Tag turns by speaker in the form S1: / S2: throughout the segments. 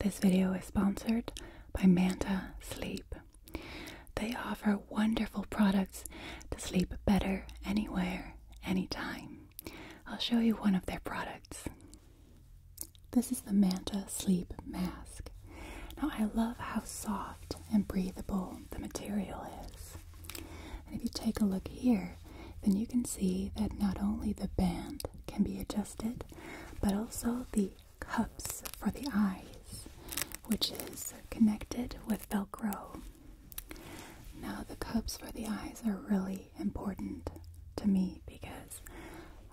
S1: This video is sponsored by Manta Sleep. They offer wonderful products to sleep better anywhere, anytime. I'll show you one of their products. This is the Manta Sleep Mask. Now, I love how soft and breathable the material is. if you take a look here, then you can see that not only the band can be adjusted, but also the cups for the eyes, which is connected with Velcro. Now, the cups for the eyes are really important to me because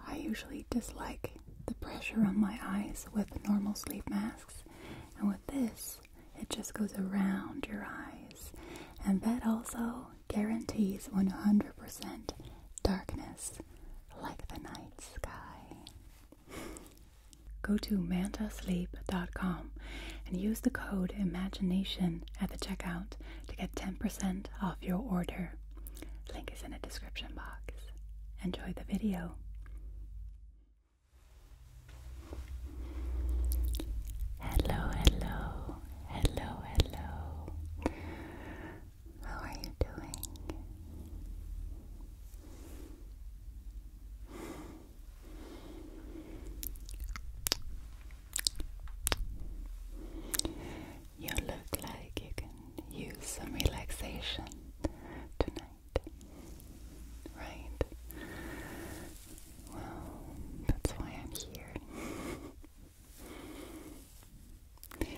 S1: I usually dislike the pressure on my eyes with normal sleep masks, and with this, it just goes around your eyes. And that also guarantees 100% darkness like the night sky. Go to mantasleep.com and use the code IMAGINATION at the checkout to get 10% off your order. Link is in the description box. Enjoy the video. Hello, hello, hello, hello. How are you doing? You look like you can use some relaxation tonight, right? Well, that's why I'm here. You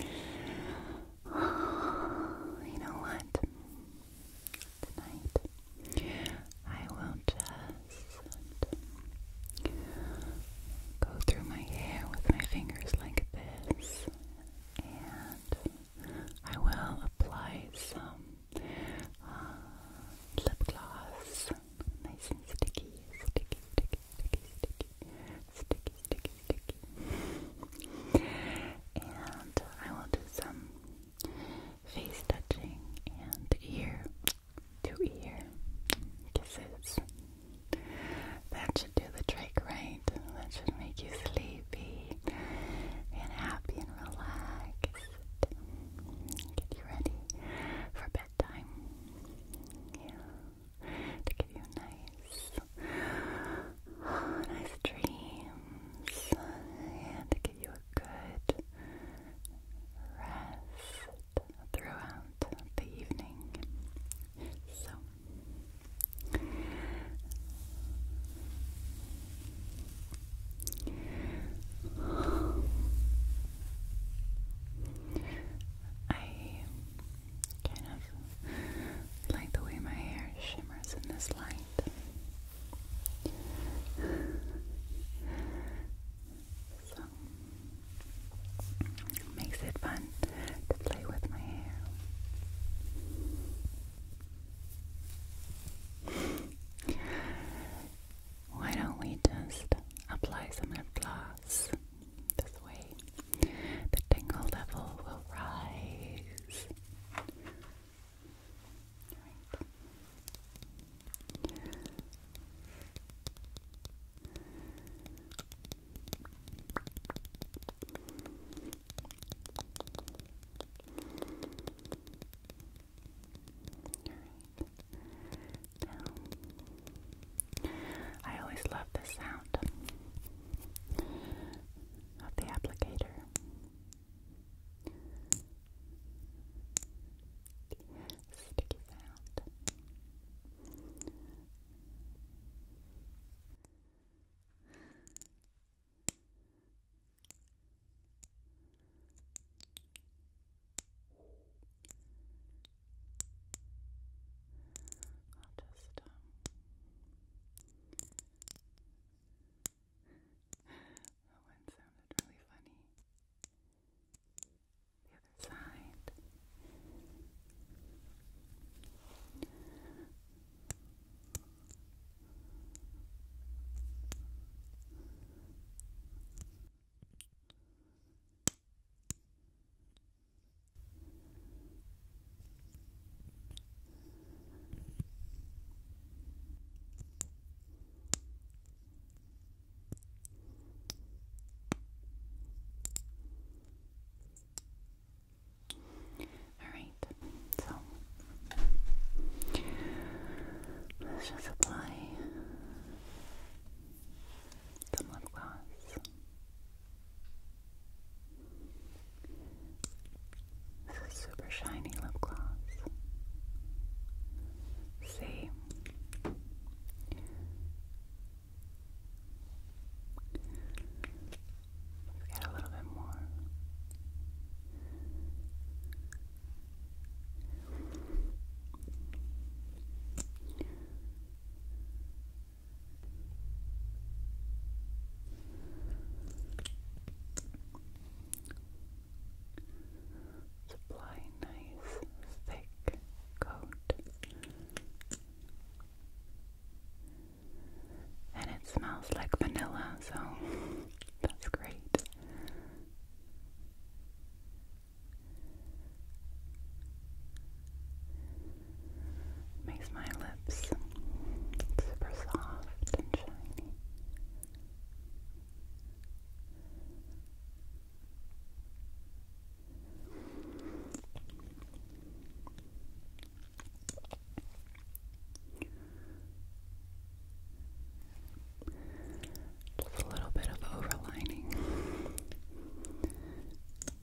S1: know what? Tonight I will just go through my hair with my fingers like this, and I will apply some uh, lip gloss, nice and sticky, sticky, sticky, sticky, sticky, sticky, sticky, sticky. and I will do some face touching and ear to ear kisses. That should do the trick, right? That should make you sleepy and happy and relaxed. Get you ready for bedtime. Yeah to give you nice, nice dreams, and to give you a good rest throughout the evening. So. I Kind of like the way my hair shimmers in this light. So makes it fun to play with my hair. Why don't we just apply some lip gloss this way, the tingle level will rise. Right. All right. I always love the sound of the applicator. Sticky sound. I'll just um that one sounded really funny. The other side. All right, so let's just apply some lip gloss. This is super shiny lip gloss. See? We've got a little bit more. Supply a nice thick coat. And it smells like vanilla, so that's great. Makes my lips super soft and shiny. Just a little bit of overlining.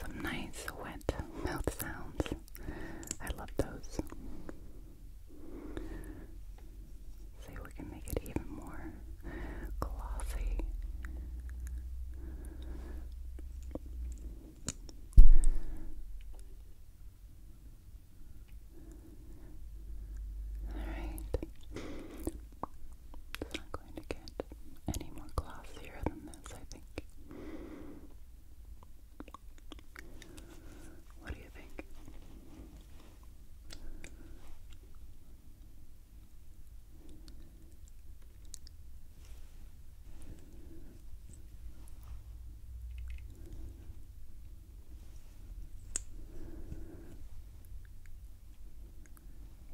S1: Some nice wet mouth sounds. I love those. See, we can make it even more glossy. Alright. It's not going to get any more glossier than this, I think. What do you think?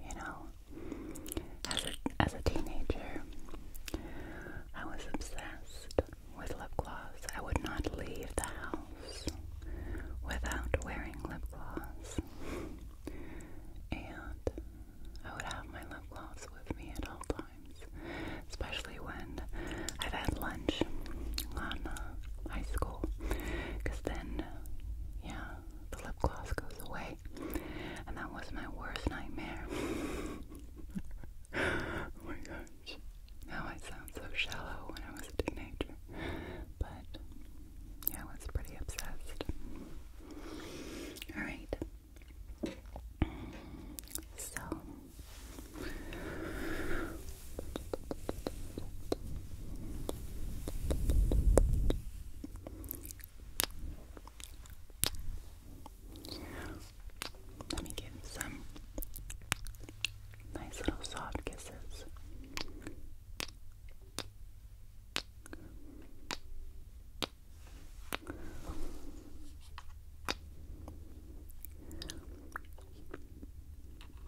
S1: You know, as a, as a teenager, I was obsessed with lip gloss. I would not leave the house without wearing lip gloss. And I would have my lip gloss with me at all times, especially when I've had lunch on uh, high school because then, yeah, the lip gloss goes away. And that was my worst nightmare. oh my gosh. Now I sound so shallow when I was a teenager. But yeah, I was pretty obsessed. Alright. So let me give some nice little soft kisses.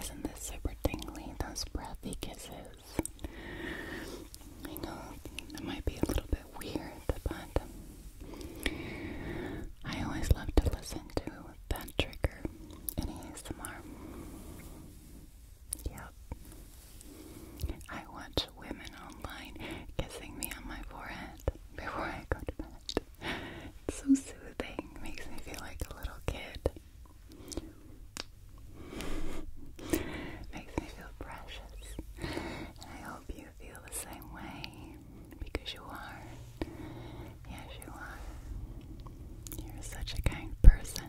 S1: Isn't this super tingly? Those breathy kisses. I know that might be a little bit weird, but I always love to listen to that trigger in ASMR. Yep. I watch women online kissing me on my forehead before I go to bed. so soothing, makes me feel like a little kid. makes me feel precious hope you feel the same way because you are. Yes, you are. You're such a kind person.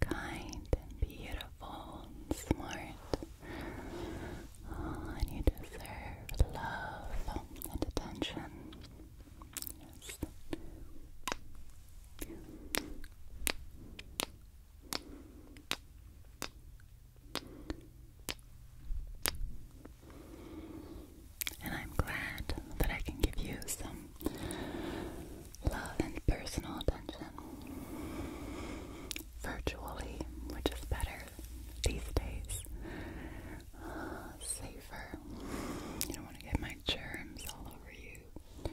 S1: Kind and beautiful and smart. Oh, and you deserve love and attention. Yes. And I'm glad that I can give you some love and personal attention. Virtually, which is better these days. Uh, safer. You don't want to get my germs all over you.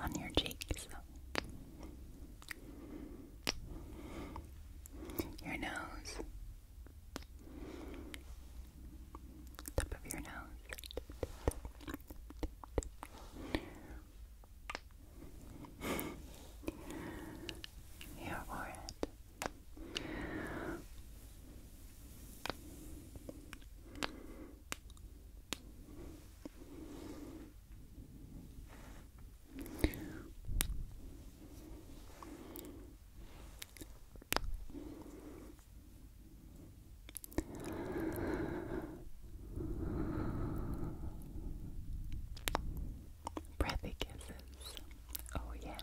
S1: on your cheeks, your nose, top of your nose. Your forehead. Your Breathy kisses. Oh, yes.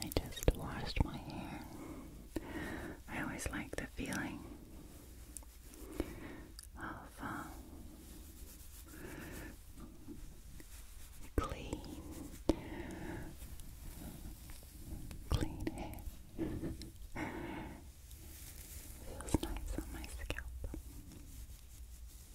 S1: I just washed my hair. I always like the feeling of um, clean, clean hair. Feels nice on my scalp.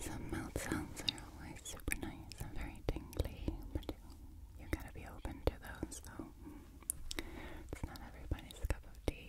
S1: Some mouth sounds are always super nice and very tingly, but you gotta be open to those, though. It's not everybody's cup of tea.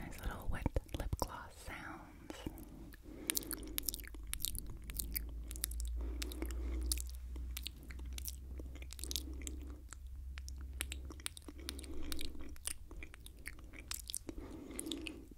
S1: Nice little wet lip gloss sounds.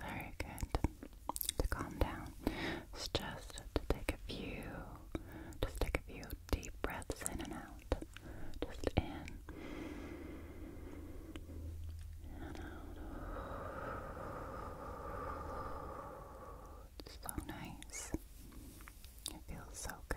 S1: very good to calm down. It's just to take a few, just take a few deep breaths in and out. Just in and out. So nice. It feels so good.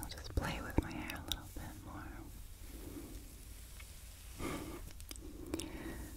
S1: I'll just play with my hair a little bit more.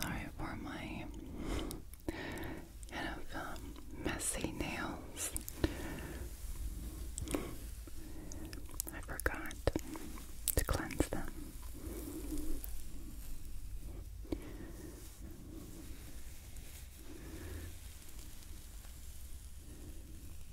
S1: Sorry for my kind of um, messy nails. I forgot to cleanse them.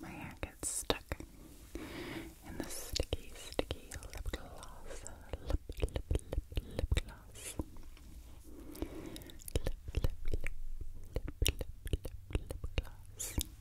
S1: My hair gets stuck in the sticky, sticky lip gloss. Lip, lip, lip, lip gloss. Lip, lip, lip, lip, lip, lip, lip gloss.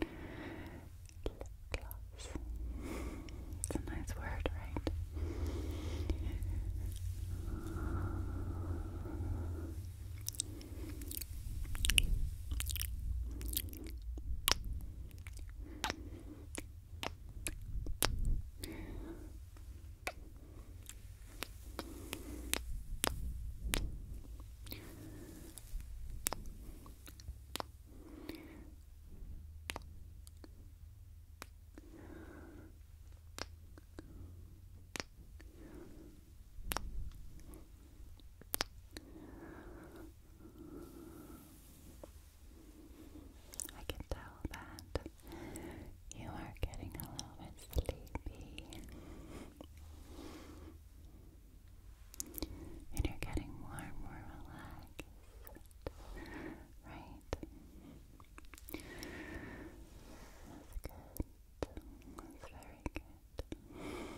S1: Lip gloss. It's a nice word, right? I can tell that you are getting a little bit sleepy and you're getting more more relaxed, right? That's good. That's very Good.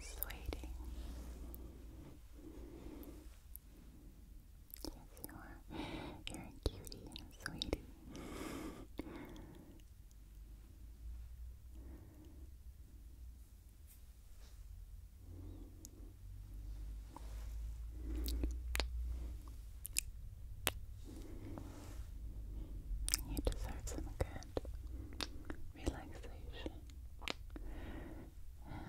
S1: Sweetie, Yes, you are. You're a cutie and a sweetie. You deserve some good relaxation and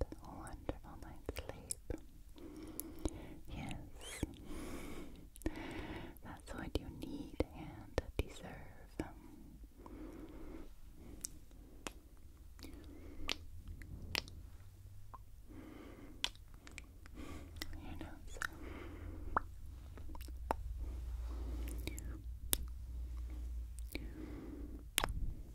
S1: a wonderful night's sleep. Yes, that's what you need and deserve. Your nose.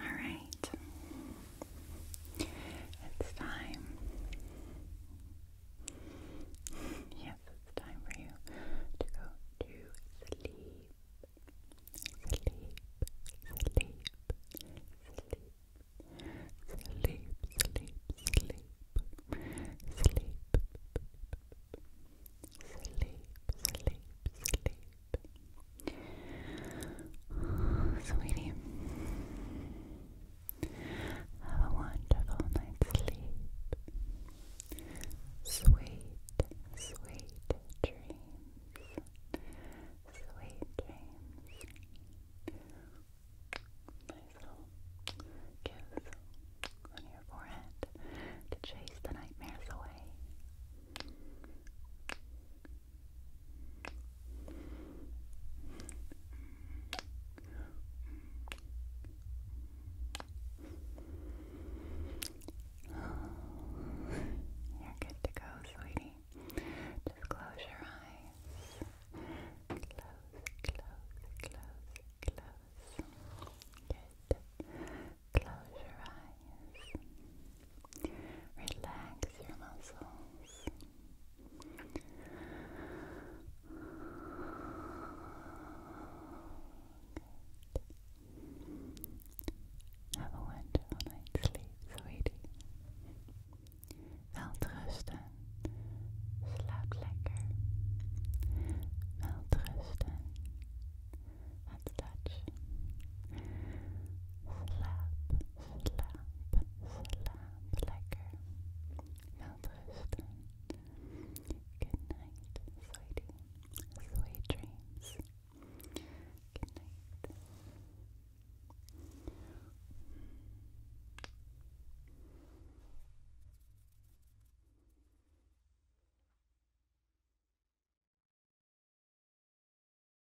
S1: Alright. It's time. yes, it's time for you to go to sleep. Sleep, sleep, sleep. Sleep, sleep, sleep. Sleep. Sleep, sleep, sleep. sweetie, have a wonderful night's sleep. Sweet, sweet dreams. Sweet dreams. Nice little kiss on your forehead to chase the nightmares away. You're good to go, sweetie. Just close your eyes. Close, close, close, close. Good. Close your eyes. Relax your muscles. Have a wonderful night's sleep, sweetie. Welterusten. Slaap lekker. Welterusten. Het Dutch. Slaap slap, slap lekker. Wel rusten. Good night, sweetie. Sweet dreams. Good night.